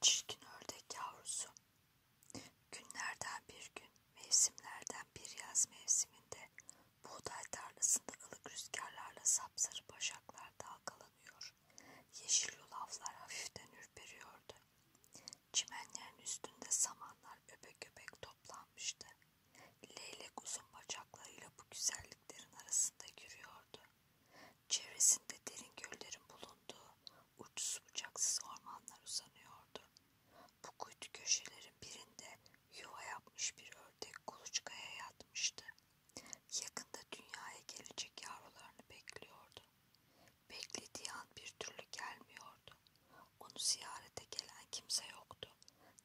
Çirkin ördek yavrusu. Günlerden bir gün, mevsimlerden bir yaz mevsiminde buğday tarlasında ılık rüzgarlarla sapsarı başaklar dalgalanıyor. Yeşil yulaflar hafiften ürperiyordu. Çimenlerin üstünde samanlar öbek öbek toplanmıştı. Leylek uzun bacaklarıyla bu güzelliklerin arasında yürüyordu. Çevresinde derin göllerin bulunduğu uçsuz bucaksız ormanlar uzanıyordu. Bu kuytu köşelerin birinde yuva yapmış bir ördek kuluçkaya yatmıştı. Yakında dünyaya gelecek yavrularını bekliyordu. Beklediği an bir türlü gelmiyordu. Onu ziyarete gelen kimse yoktu.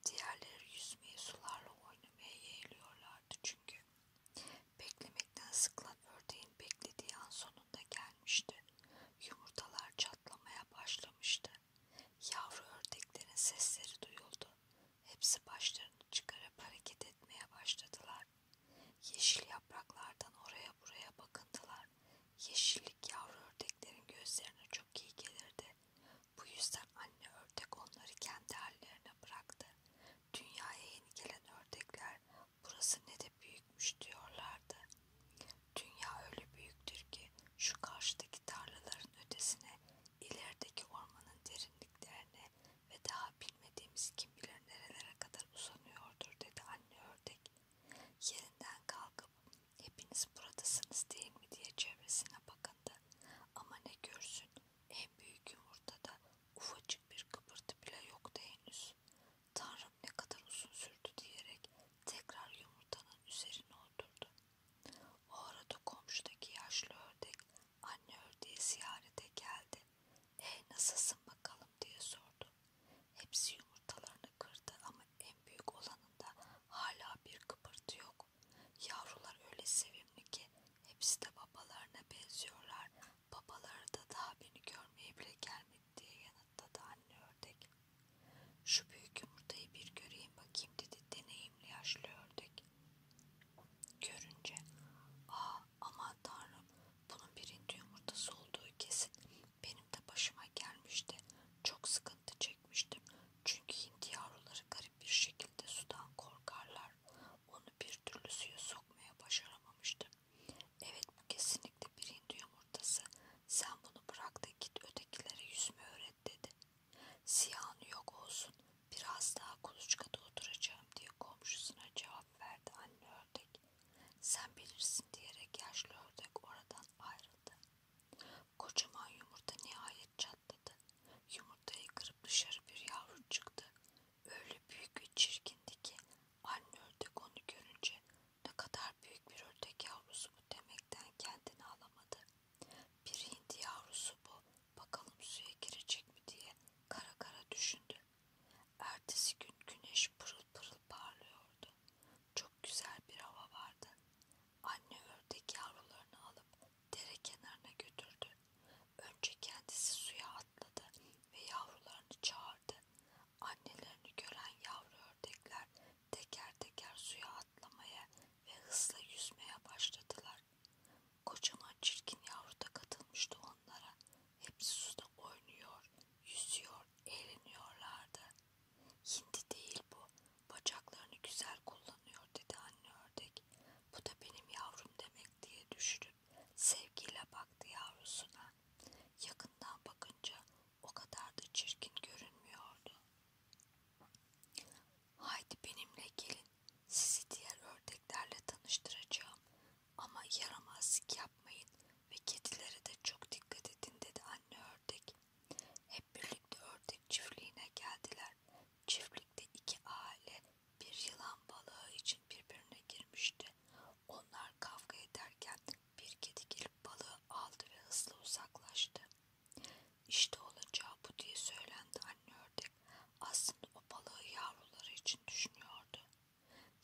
Diğerleri yüzmeye, sularla oynamaya yeğliyorlardı çünkü. Beklemekten sıkılan ördeğin beklediği an sonunda gelmişti. Yumurtalar çatlamaya başlamıştı. Yavru ördeklerin sesleri duyuldu. Hepsi başlarını çıkarıp hareket etmeye başladılar. Yeşil yapraklardan oraya buraya bakındılar. Yeşillik yavru ördeklerin gözlerine çok iyi gelirdi. Bu yüzden anne ördek onları kendi hallerine bıraktı. Dünyaya yeni gelen ördekler burası ne de büyükmüş diyorlardı. Dünya öyle büyüktür ki şu karşıdaki tarlaların ötesine, ilerideki ormanın derinliklerine ve daha bilmediğimiz kim bilir nerelere kadar uzanıyordur dedi anne ördek. Yerinden kalkıp hepiniz buradasınız değil mi diye çevresine bakındı. Ama ne görsün en büyük yumurtada Ufacık bir kıpırtı bile yoktu henüz. Tanrım ne kadar uzun sürdü diyerek tekrar yumurtanın üzerine oturdu. O arada komşudaki yaşlı ördek anne ördeği ziyarete geldi. E nasılsın bakalım diye sordu. Hepsi yumurtalarını kırdı ama en büyük olanında hala bir kıpırtı yok. Yavrular öyle sevimli ki Hepsi de babalarına benziyorlar. Babaları da daha beni görmeye bile gelmedi diye yanıtladı anne ördek. Şu büyük yumurtayı bir göreyim bakayım dedi deneyimli yaşlı ördek. Görünce aa aman tanrım bunun birinci yumurtası olduğu kesin benim de başıma gelmişti. Çok sıkıntı çekmiştim çünkü hindi yavruları garip bir şekilde sudan korkarlar kadar onu bir türlü suya sokmaya başaramamıştım. Evet bu kesinlikle bir hindi yumurtası. Sen bunu bırak da git ötekilere yüzme öğret dedi. Siyahın yok olsun. Biraz daha kuluçkada oturacağım diye komşusuna cevap verdi anne ördek. Sen bilirsin diyerek yaşlı ördek oradan ayrıldı. Kocaman yumurta nihayet patladı. Yumurtayı kırıp dışarı bir yavru çıktı. Öyle büyük ve çirkindi ki anne ördek onu görünce ne kadar büyük bir ördek yavrusu bu demekten kendini alamadı. Bir hindi yavrusu bu bakalım suya girecek mi diye kara kara düşündü. Ertesi gün güneş pırıl pırıl parlıyordu. Çok güzel bir hava vardı. Anne ördek yavrularını alıp dere kenarına götürdü. Önce kendisi suya atladı ve yavrularını çağırdı. Annelerini gören yavru ördekler teker teker suya atlamaya ve hızla yüzmeye başladılar. Kocaman çirkin yavru da katılmıştı onlara. Hepsi suda oynuyor, yüzüyor, eğleniyorlardı. Hindi değil bu, bacaklarını güzel kullanıyor dedi anne gördük. Bu da benim yavrum demek diye düşünüp sevgiyle baktı yavrusuna. Yakından bakınca o kadar da çirkin görünmüyordu. Haydi benimle gelin. Sizi diğer ördeklerle tanıştıracağım. Ama yaramazlık yapmayın ve kedilere de çok dikkat edin dedi anne ördek. Hep birlikte ördek çiftliğine geldiler. Çiftlikte iki aile bir yılan balığı için birbirine girmişti. Onlar kavga ederken bir kedi gelip balığı aldı ve hızla uzaklaştı. İşte olacağı bu diye söylendi anne ördek. Aslında o balığı yavruları için düşünüyordu.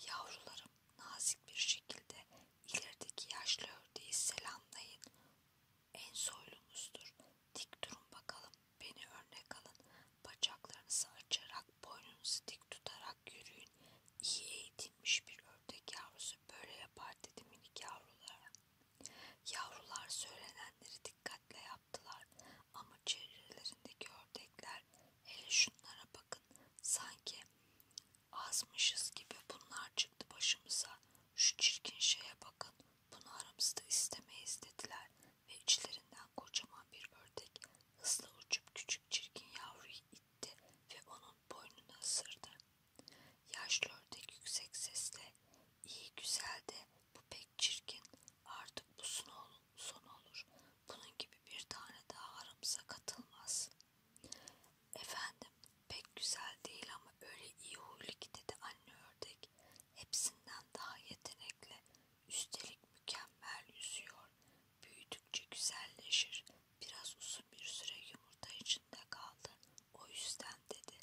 Yavrularım nazik bir şekilde ilerideki yaşlı ördeği selamlayın en soylumuzdur. Dik durun bakalım, beni örnek alın. Bacaklarınızı açarak, boynunuzu dik tutarak yürüyün. İyi eğitilmiş bir ördek yavrusu böyle yapar dedi minik yavrulara. Yavrular söylenenleri dikkatle yaptılar. Ama çevrelerindeki ördekler, hele şunlara bakın, sanki azmışız gibi bunlar çıktı başımıza. Şu çirkin şeye bakın. Bunu aramızda istemeyiz dediler ve içlerinden kocaman bir ördek hızla uçup küçük çirkin yavruyu itti ve onun boynunu ısırdı. Yaşlı ördek yüksek sesle iyi güzel de bu pek çirkin artık bu son olur bunun gibi bir tane daha aramıza katılmaz. Efendim Pek güzel değil ama öyle iyi huylu ki dedi anne ördek. Hepsinden daha yetenekli. Üstelik mükemmel yüzüyor. Büyüdükçe güzelleşir. Biraz uzun bir süre yumurta içinde kaldı. O yüzden dedi.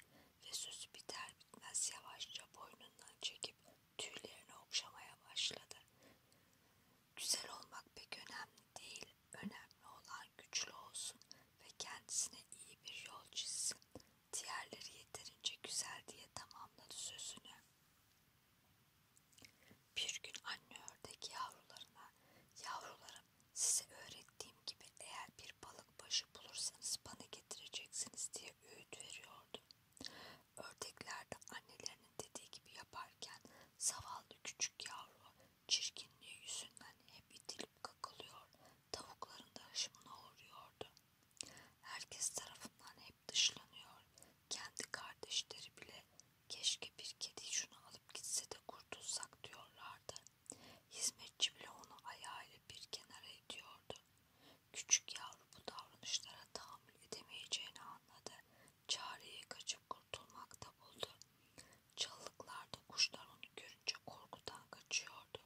Ve sözü biter bitmez yavaşça boynundan çekip tüylerini okşamaya başladı. Güzel olmak pek önemli değil. Önemli olan güçlü olsun ve kendisine iyi bir yol çizsin. Diğerleri yeterince güzel diye tamamladı sözünü. Bir gün anne ördek yavrularına, yavrularım size öğrettiğim gibi eğer bir balık başı bulursanız bana getireceksiniz diye öğüt veriyordu. Ördekler de annelerinin dediği gibi yaparken zavallı küçük yavru Çirkinliği yüzünden hep itilip kakılıyor, tavukların da hışmına uğruyordu. Herkes tarafından hep dışlanıyor. Kendi kardeşleri bile keşke bir kedi şunu alıp gitse de kurtulsak diyorlardı. Hizmetçi bile onu ayağıyla bir kenara ediyordu. Küçük yavru bu davranışlara tahammül edemeyeceğini anladı. Çareyi kaçıp kurtulmakta buldu. Çalılıklarda kuşlar onu görünce korkudan kaçıyordu.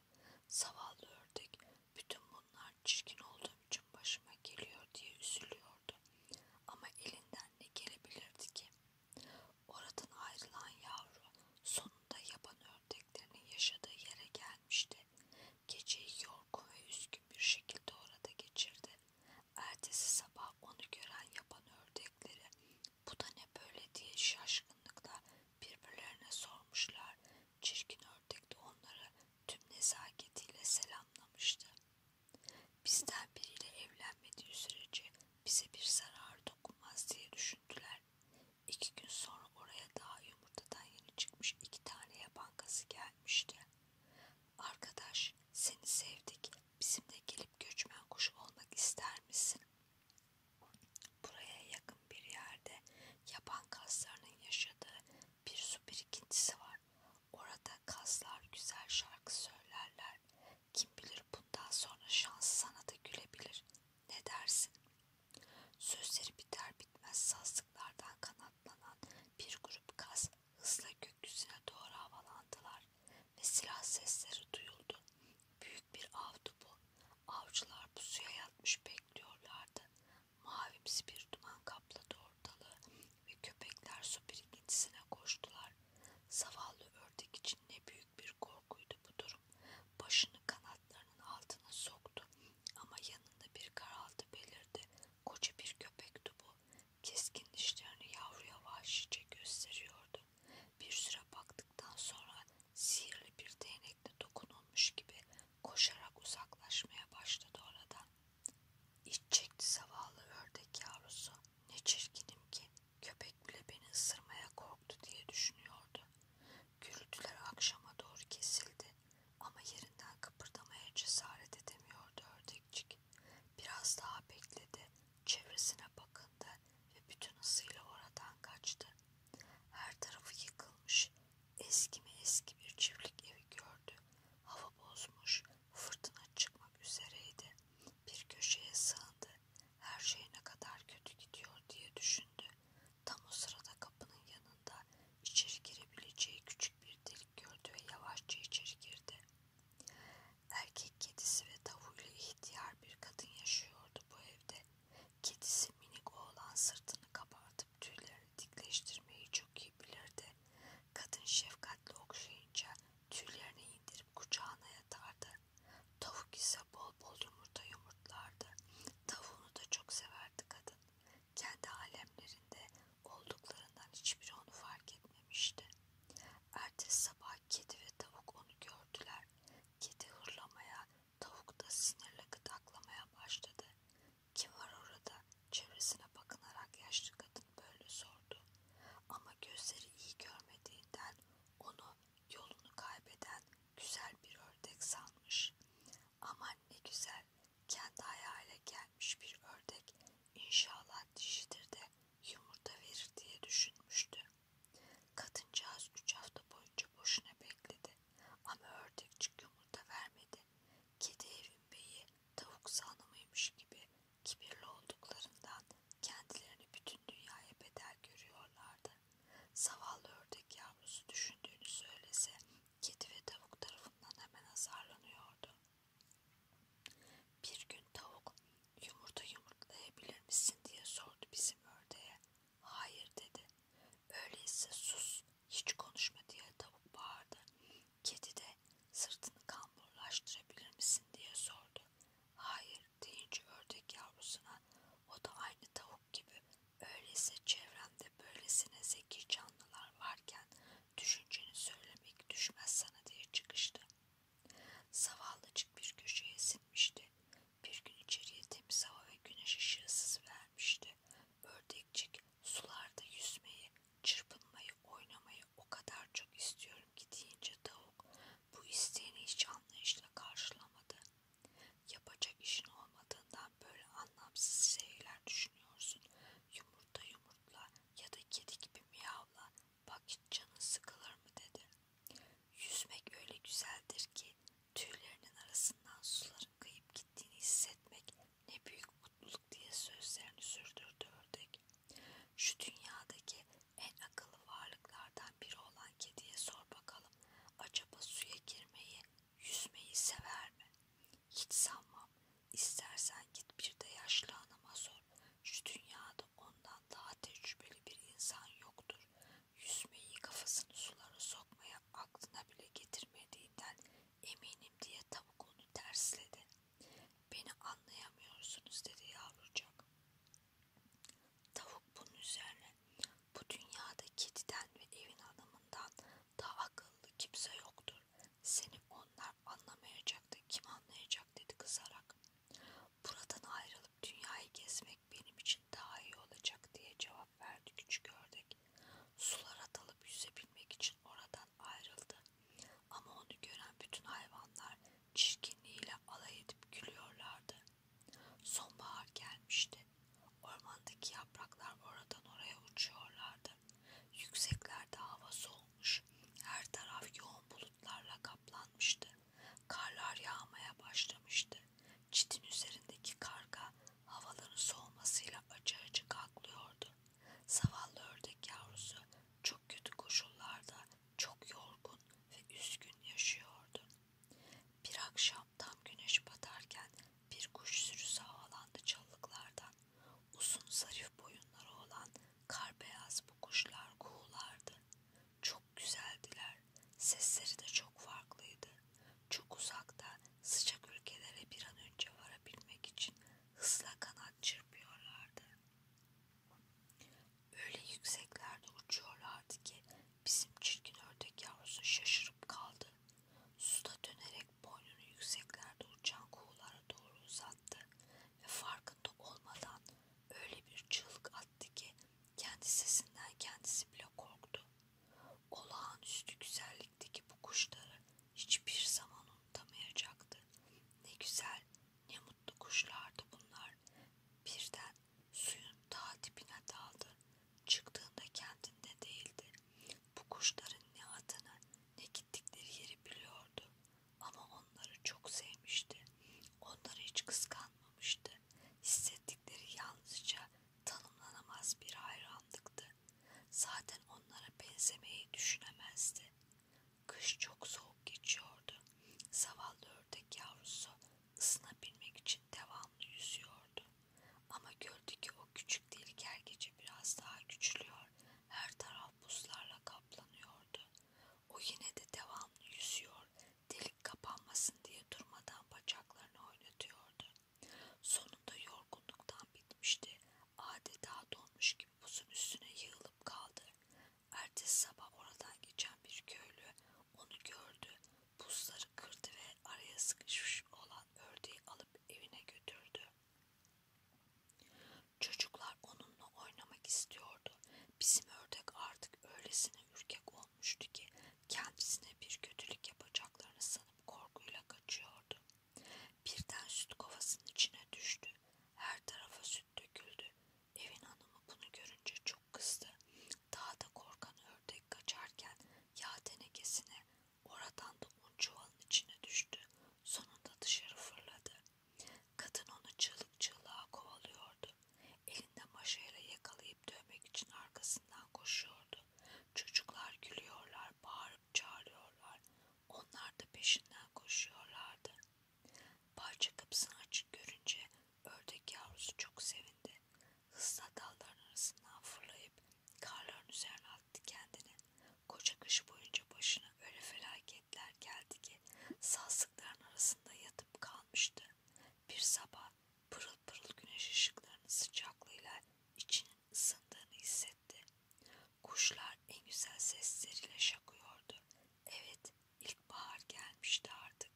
Zavallı ördek bütün bunlar çirkin olduğum için başıma geliyor diye üzülüyordu. Ama elinden ne gelebilirdi ki? Oradan ayrılan yavru sonunda yaban ördeklerinin yaşadığı yere gelmişti. Geceyi yorgun ve üzgün bir şekilde orada geçirdi. Ertesi sabah onu gören yaban ördekleri bu da ne böyle diye şaşkınlıkla birbirlerine sormuşlar. Çirkin ördek de onları tüm nezaketiyle selamlamıştı. Bizden biriyle evlenmediği sürece bize bir zarar dokunmaz diye düşündüler. İki gün sonra oraya daha yumurtadan yeni çıkmış iki tane yaban kazı gelmişti. Arkadaş seni sevdik bizimle gelip göçmen kuşu olmak ister misin Buraya yakın bir yerde yaban kaslarının yaşadığı bir su birikintisi var. Orada kaslar güzel şarkı söylerler. Kim bilir bundan sonra şans sana da gülebilir. Ne dersin? Sözleri biter bitmez sazlıklardan kanatlanan bir grup kas hızla gökyüzüne doğru havalandılar ve silah sesleri duyuldu. Büyük bir avdı bu. Avcılar pusuya yatmış bekliyorlardı. Mavimsi bir duman kapladı ortalığı ve köpekler su birikintisine koştular. Zavallı ördek için ne büyük bir korkuydu bu durum. Başını kanatlarının altına soktu ama yanında bir karaltı belirdi. Koca bir köpekti bu. Keskin dişlerini yavruya vahşice gösteriyordu. Bir süre baktıktan sonra sihirli bir değnekle dokunulmuş gibi koşarak uzaklaşmaya başladı oradan. İç çekti zavallı ördek yavrusu. Ne çirkinim ki köpek bile beni ısırmaya korktu diye düşünüyordu. Gürültüler akşama doğru kesildi ama yerinden kıpırdamaya cesaret edemiyordu ördekçik. Biraz daha bekledi, çevresine bakındı ve bütün hızıyla oradan kaçtı. Her tarafı yıkılmış, eski mi eski bir çiftlik evi gördü. Hava bozmuş, fırtına çıkmak üzereydi. Bir köşeye sığındı, her şey ne kadar kötü gidiyor diye düşündü. Tam o sırada kapının yanında içeri girebileceği küçük bir delik gördü ve yavaşça içeri girdi. Erkek kedisi ve tavuğuyla ihtiyar bir kadın yaşıyordu bu evde. Kedisi minik oğlan sırtını kabartıp tüylerini dikleştirmeyi çok iyi bilirdi. Kadın şefkatle okşayınca tüylerini indirip kucağına yatardı. Tavuk ise bol bol yumurta yumurtlardı. Tavuğunu da çok severdi kadın. Kendi alemlerinde olduklarından hiçbiri onu fark etmemişti. Ertesi sabah kedi ve tavuk onu gördüler. Kedi hırlamaya, tavuk da sinirle gıdaklamaya başladı. Kim var orada? Çevresine bakınarak yaşlı kadın böyle sordu. Ama gözleri iyi görmediğinden onu yolunu kaybeden güzel bir ördek sanmış. Aman ne güzel, kendi ayağıyla gelmiş bir ördek İnşallah dişidir de yumurta verir diye düşünmüştü. Kadıncağız üç hafta boyunca boşuna bekledi. Ama ördekçik yumurta vermedi. Kedi evin beyi tavuk sanımıymış gibi kibirli olduklarından kendilerini bütün dünyaya bedel görüyorlardı. Zavallı ördek yavrusu düşündüğünü söylese kedi ve tavuk tarafından hemen azarlanıyordu. Bir gün tavuk yumurta yumurtlayabilir misin diye sordu bizim ördeğe. Hayır dedi. Öyleyse sus hiç konuşma diye tavuk bağırdı. Kedi de sırtını kamburlaştırabilir misin diye sordu. Hayır deyince ördek yavrusuna o da aynı tavuk gibi öyleyse çevremde böylesine zeki canlılar varken Düşünceni söylemek düşmez sana diye çıkıştı. Zavallıcık bir köşeye sinmişti. Bir gün içeriye temiz hava ve güneş ışığı sızıvermişti. Ördekçik sularda yüzmeyi, çırpınmayı, oynamayı o kadar çok istiyorum ki deyince tavuk bu isteğini hiç anlayışla karşılamadı. Yapacak işin olmadığından böyle anlamsız şeyler düşünüyorsun. Yumurta yumurtla, ya da kedi gibi miyavla bak canın sıkılır mı dedi. Yüzmek öyle güzeldir ki tüylerinin arasından suların kayıp gittiğini hissetmek ne büyük mutluluk diye sözlerini sürdürdü ördek. Şu dünyadaki en akıllı varlıklardan biri olan kediye sor bakalım acaba suya girmeyi, yüzmeyi sever mi? Hiç sanmam İstersen git bir de yaşlı hanıma sor. Şu dünyada ondan daha tecrübeli bir insan yoktur. Yüzmeyi kafasını sulara sokmaya aklına bile getirmediğinden eminim diye tavuk onu tersledi. Beni anlayamıyorsunuz dedi yavrucak. Tavuk bunun üzerine bu dünyada kediden ve evin hanımından daha akıllı kimse yoktur. Seni onlar anlamayacaktı. Kim anlayacak dedi kızarak. Buradan ayrılıp dünyayı gezmek benim için daha iyi olacak diye cevap verdi küçük ördek. Sulara dalıp yüzebilmek için oradan ayrıldı. Ama onu gören bütün hayvanlar çirkinliğiyle alay edip gülüyorlardı. Sonbahar gelmişti. Ormandaki yapraklar oradan oraya uçuyorlardı. Yükseklerde hava soğumuş, her taraf yoğun bulutlarla kaplanmıştı. Karlar yağmaya başlamıştı. Çitin üzerindeki karga havaların soğumasıyla acı acı kalkıyordu. Zavallı ördek yavrusu çok kötü koşullarda çok yorgun ve üzgün yaşıyordu. Bir akşam tam güneş batarken bir kuş sürüsü havalandı çalılıklardan. Uzun zarif boyunları olan kar beyaz bu kuşlar kuğulardı. Çok güzeldiler. Sesleri de çok farklıydı. Çok uzakta sıcak ülkelere bir an önce varabilmek için hızla kanat çırpıyorlardı. Öyle yükseklerde uçuyorlardı ki bizim çirkin ördek yavrusu şaşırıp kaldı. Suda dönerek boynunu yükseklerde uçan kuğulara doğru uzattı ve farkında olmadan öyle bir çığlık attı ki kendi sesinden kendisi bile korktu. Olağanüstü güzellikteki bu kuşları hiçbir zaman unutamayacaktı. Ne güzel, ne mutlu kuşlardı bunlar. Birden suyun ta dibine daldı. Çıktığında kendinde değildi. Bu kuşların ne adını ne gittikleri yeri biliyordu. Ama onları çok sevmişti. Onları hiç kıskanmamıştı. Hissettikleri yalnızca tanımlanamaz bir hayranlıktı. Zaten onlara benzemeyi düşünemezdi. Kış çok soğuk geçiyordu. Zavallı ördek yavrusu ısınabilmek için devamlı yüzüyordu. Ama gördü ki o küçük delik her gece biraz daha küçülüyor. Her taraf buzlarla kaplanıyordu. O yine de devamlı yüzüyor. Delik kapanmasın diye durmadan bacaklarını oynatıyordu. Sonunda yorgunluktan bitmişti. Adeta donmuş gibi buzun üstüne yığılıp kaldı. Ertesi sabah oradan geçen bir köylü onu gördü. Buzları kırdı ve araya sıkışmış olan ördeği alıp evine götürdü. Çocuklar onunla oynamak istiyordu. Bizim ördek artık öylesine ürkek olmuştu ki kendisine bir kötülük yapacaklarını sanıp korkuyla kaçıyordu. Birden süt kovasının içine düştü. Her tarafa süt döküldü. Evin hanımı bunu görünce çok kızdı. Daha da korkan ördek kaçarken yağ tenekesine Oradan da un çuvalın içine düştü. Sonunda dışarı fırladı. Kadın onu çığlık çığlığa kovalıyordu. Elinde maşayla yakalayıp dövmek için arkasından koşuyordu. Çocuklar gülüyorlar, bağırıp çağırıyorlar. Onlar da peşinden koşuyorlardı. Bahçe kapısını açık görünce ördek yavrusu çok sevindi hızla dalların arasından fırlayıp karların üzerine attı kendini. Koca kış boyunca başına öyle felaketler geldi ki sazlıkların arasında yatıp kalmıştı. Bir sabah pırıl pırıl güneş ışıklarının sıcaklığıyla içinin ısındığını hissetti. Kuşlar en güzel sesleriyle şakıyordu. Evet, ilkbahar gelmişti artık.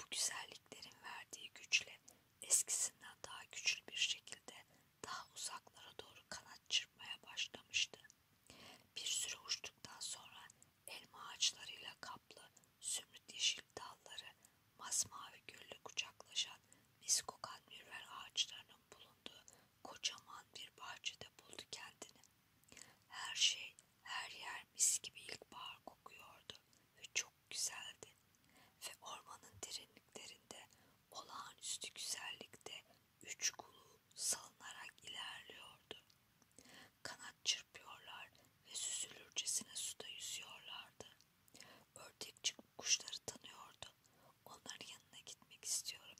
Bu güzelliklerin verdiği güçle eskisinden daha güçlü bir şekilde daha uzaklara doğru kanat çırpmaya başlamıştı. Bir süre uçtuktan sonra elma ağaçlarıyla kaplı zümrüt yeşil dalları masmavi gölle kucaklaşan mis kokan mürver ağaçlarının bulunduğu kocaman bir bahçede buldu kendini. Her şey her yer mis gibi ilkbahar kokuyordu ve çok çok güzeldi ve ormanın derinliklerinde olağanüstü güzellikte üç kulu salınarak ilerliyordu. Kanat çırpıyorlar ve süzülürcesine suda yüzüyorlardı. Ördekçi kuşları tanıyordu. Onların yanına gitmek istiyorum.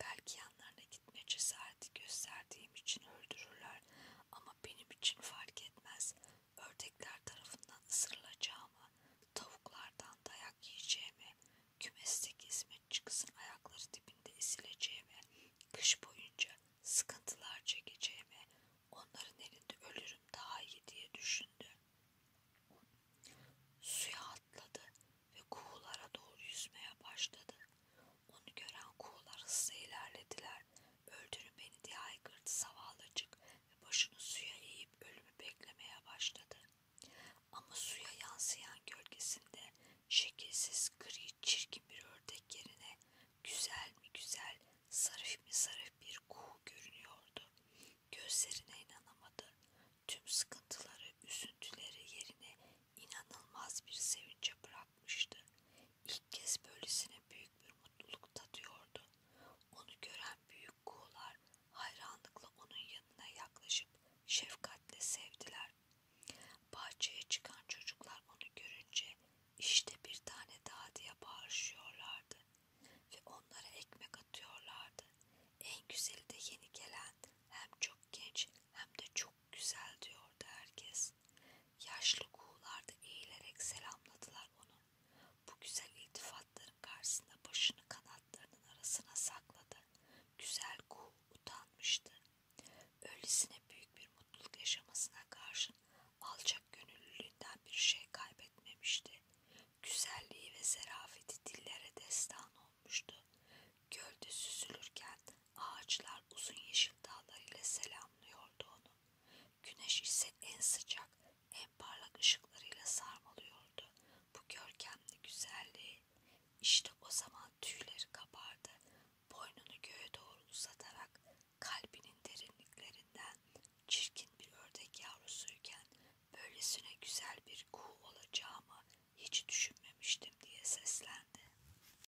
Belki yanlarına gitme cesareti gösterdiğim için öldürürler ama benim için fark etmez ördekler tarafından ısırılacağımı, tavuklardan dayak yiyeceğimi, kümesteki hizmetçi ayakları dibinde ezileceğimi, kış boyunca sıkıntılar çekeceğimi, onların elinde ölürüm daha iyi diye düşündü. Suya atladı ve kuğulara doğru yüzmeye başladı. Onu gören kuğular hızla ilerlediler Öldürün beni diye haykırdı zavallıcık ve başını suya eğip ölümü beklemeye başladı. Ama suya yansıyan gölgesinde şekilsiz gri çirkin bir ördek yerine güzel mi güzel sarif mi sarif bir kuğu görünüyordu. Gözlerine inanamadı. Tüm sıkıntıları, üzüntüleri yerine inanılmaz bir sevince bırakmıştı. İlk kez böylesine büyük bir mutluluk tadıyordu. Onu gören büyük kuğular hayranlıkla onun yanına yaklaşıp şefkatle sevdiler. Bahçeye çıkan çocuklar onu görünce işte bir tane daha diye bağırışıyorlardı ve onlara ekmek atıyorlardı. En güzeli de yeni gelen hem çok genç hem de çok güzel diyordu herkes. Yaşlı kuğular da eğilerek selamladılar onu. Bu güzel iltifatların karşısında başını kanatlarının arasına sakladı. Güzel kuğu utanmıştı. Öylesine büyük bir mutluluk yaşamasına karşın alçak gönüllülüğünden bir şey kaybetmemişti. Güzelliği ve zarafeti dillere destan olmuştu. Gölde süzülürken Ağaçlar uzun yeşil dağlarıyla selamlıyordu onu. Güneş ise en sıcak, en parlak ışıklarıyla sarmalıyordu. Bu görkemli güzelliği. İşte o zaman tüyleri kabardı. Boynunu göğe doğru uzatarak kalbinin derinliklerinden çirkin bir ördek yavrusuyken böylesine güzel bir kuğu olacağımı hiç düşünmemiştim diye seslendi.